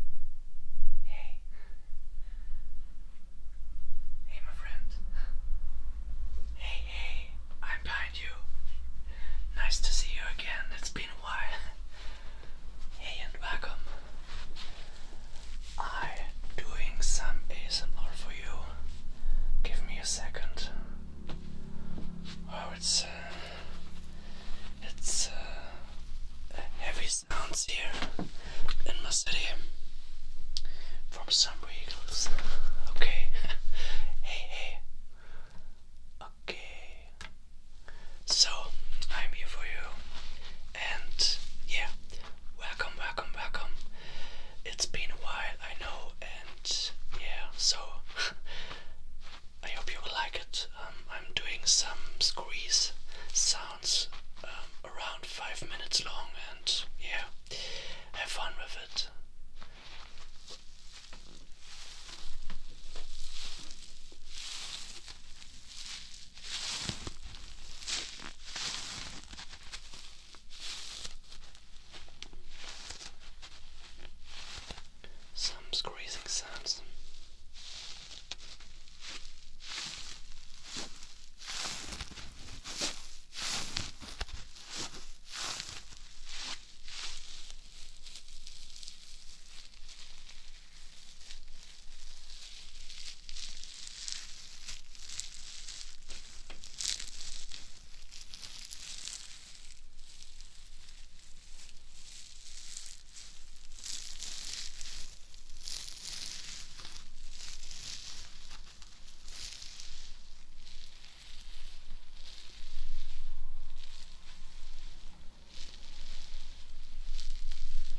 Hey. Hey, my friend. Hey, hey, I'm behind you. Nice to see you again. It's been a while. Hey, and welcome. I'm doing some ASMR for you. Give me a second. Oh, it's. Uh, it's uh, heavy sounds here in my city from somewhere vehicles. Okay. hey, hey. Okay. So, I'm here for you. And yeah, welcome, welcome, welcome. It's been a while, I know, and yeah, so I hope you will like it. Um, I'm doing some squeeze sounds um, around five minutes long, and yeah, have fun with it some squeezing sounds.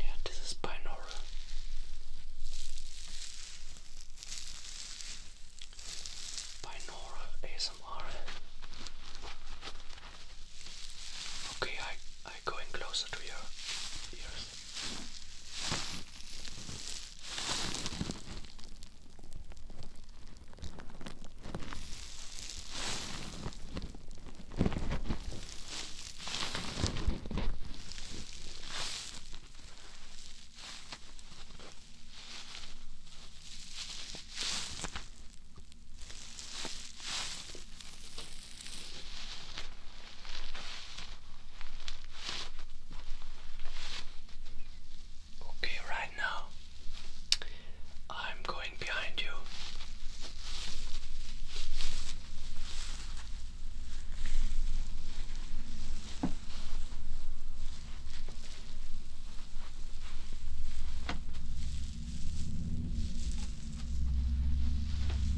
Yeah, this is binaural by Nora ASMR. Okay, I I going closer to your ears. Okay, right now I'm going behind you.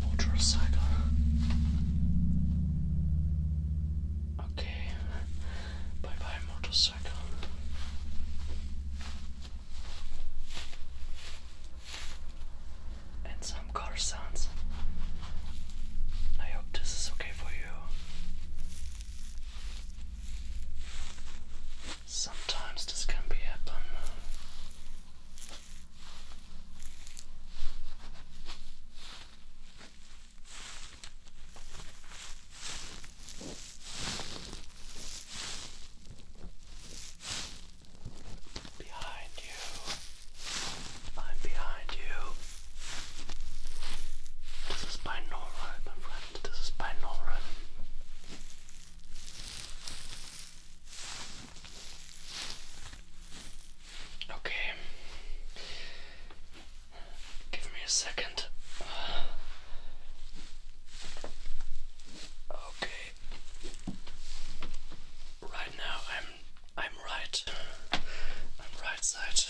Motorcycle. Okay. Bye bye, motorcycle and some car sounds. I hope this is okay for you. Sometimes this can be a happen. Behind you. I'm behind you. This is by no my friend. This is by no Okay. Give me a second. Okay. Right now I'm I'm right. I'm right side.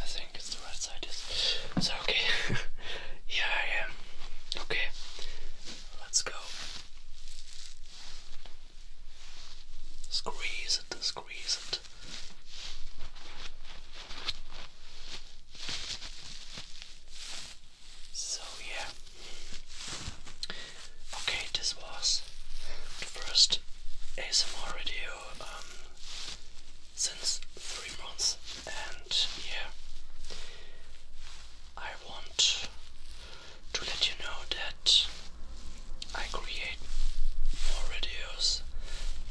I think it's the right side, yes. So okay. yeah I am. Okay. Let's go. Squeeze it, squeeze it. So, yeah. Okay, this was the first ASMR video um, since three months, and yeah, I want to let you know that I create more videos,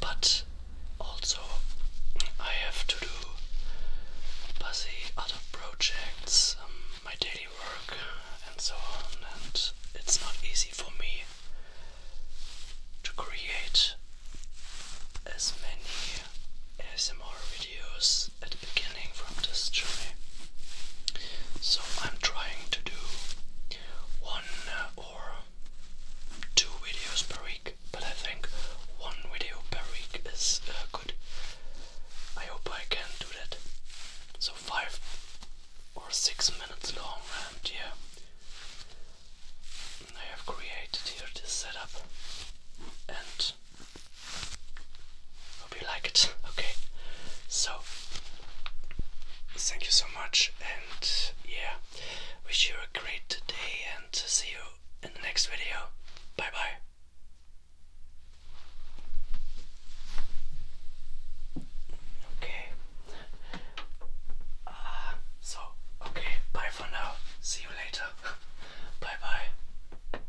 but also I have to do busy other projects, um, my daily work and so on and it's not easy for me to create as many ASMR videos at the beginning from this journey. So I'm trying to do one or uh, for um, two videos per week, but I think one video per week is uh, good. I hope I can do that. So five or six minutes long, and yeah, I have created here this setup, and hope you like it. Okay, so Thank you so much, and yeah, wish you a great day, and see you in the next video. Bye bye. Okay. Uh, so, okay, bye for now. See you later. bye bye.